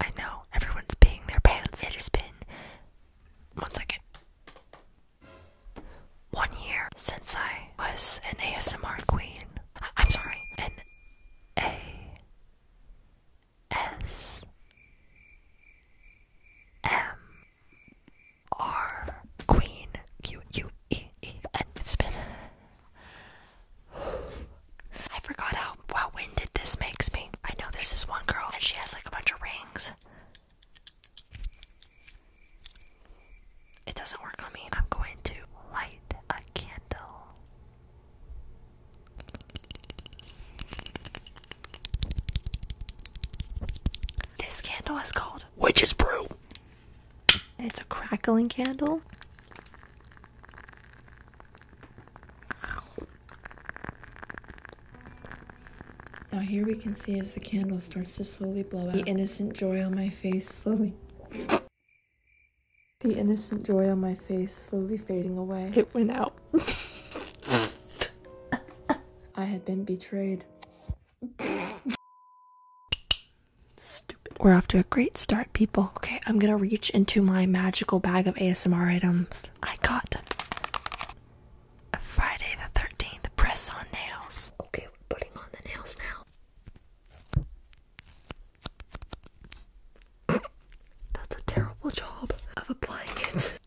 I know everyone's peeing their pants. It has been one second. One year since I was an ASMR queen. I am sorry, an A S M R Queen Q U E E N. It's been I forgot how, how winded this makes me. I know there's this one girl and she has like a bunch of rings. It doesn't work on me. I'm going to light a candle. This candle is called Witches Brew. It's a crackling candle. Now here we can see as the candle starts to slowly blow out, the innocent joy on my face slowly... the innocent joy on my face slowly fading away. It went out. I had been betrayed. Stupid. We're off to a great start, people. Okay, I'm gonna reach into my magical bag of ASMR items. I got a Friday the 13th press on nails. Okay, we're putting on the nails now. That's a terrible job of applying it.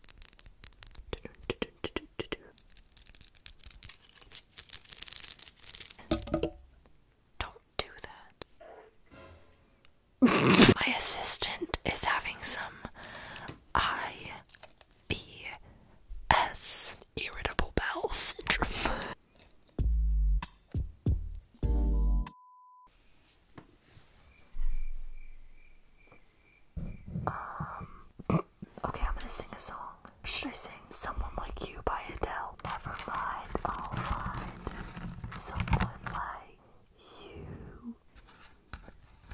My assistant is having some IBS, irritable bowel syndrome. Um, okay, I'm gonna sing a song. Should I sing Someone Like You by Adele? Never mind, I'll find someone like you.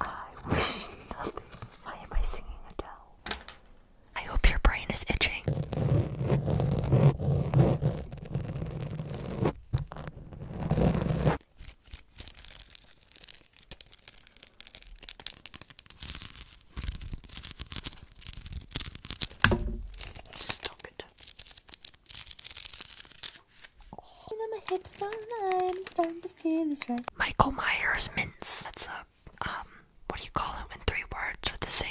I wish Why am I singing Adele? I hope your brain is itching. Stop it. Michael Myers mints. That's a um what do you call it when three words are the same?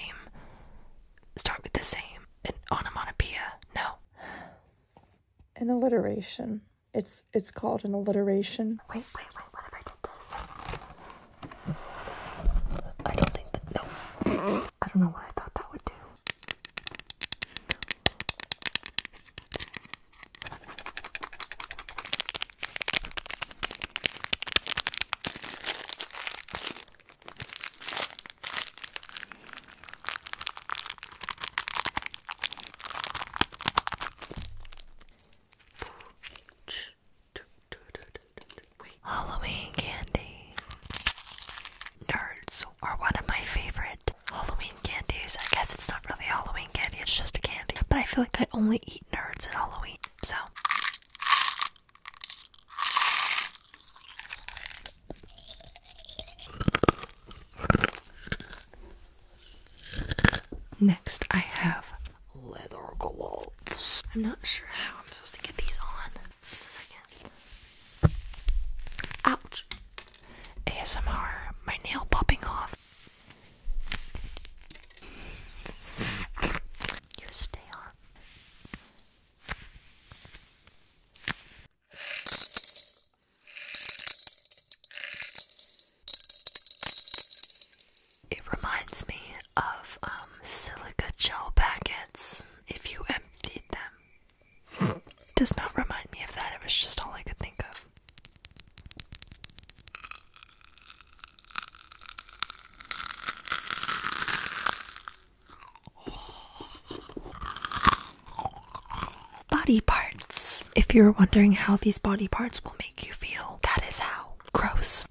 Start with the same. An onomatopoeia. No. An alliteration. It's it's called an alliteration. Wait, wait, wait, what if I did this? I don't think that. No. I don't know what I thought that would do. Halloween candy. Nerds are one of my favorite Halloween candies. I guess it's not really Halloween candy, it's just a candy. But I feel like I only eat nerds at Halloween, so. Next, I have leather gloves. I'm not sure how I'm supposed to get these on. Just a second. Ouch. ASMR, my nail popping off. You stay on. It reminds me of um, silica gel packets if you emptied them. Does not remind me of that, it was just all I could think of. Body parts. If you're wondering how these body parts will make you feel, that is how. Gross.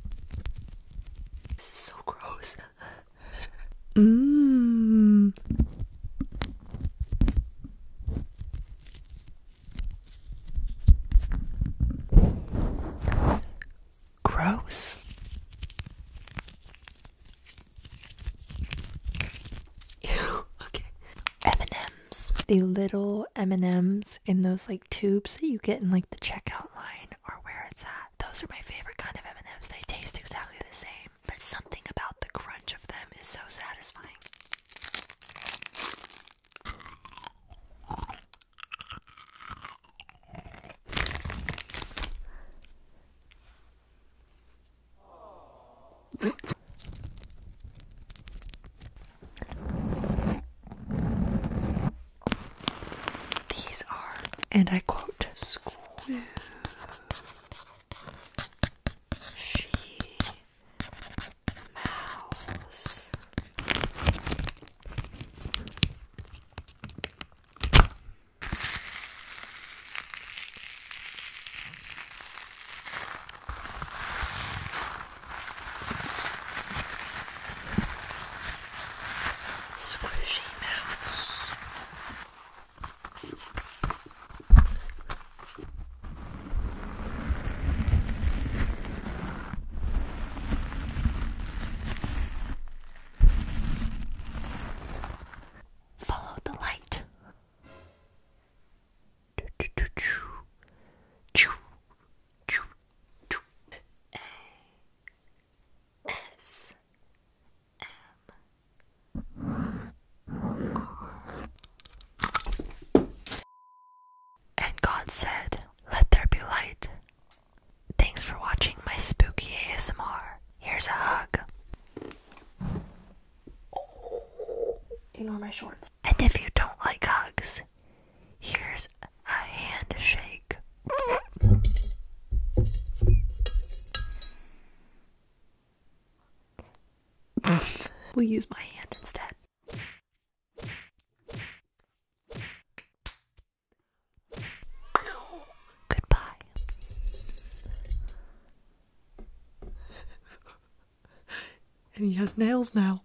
This is so gross. Mmm. Gross. Ew, okay. Eminem the little M&Ms in those like tubes that you get in like the checkout line are where it's at. Those are my favorite kind of M&Ms. They taste exactly the same, but something about the crunch of them is so satisfying. These are, and I quote, smooth. mouse. Squishy mouse. Follow the light. S M And God said, Let there be light. Thanks for watching my spooky ASMR. Here's a hug. Ignore my shorts. And if you don't like hugs, here's a handshake. we'll use my hand instead. Goodbye. and he has nails now.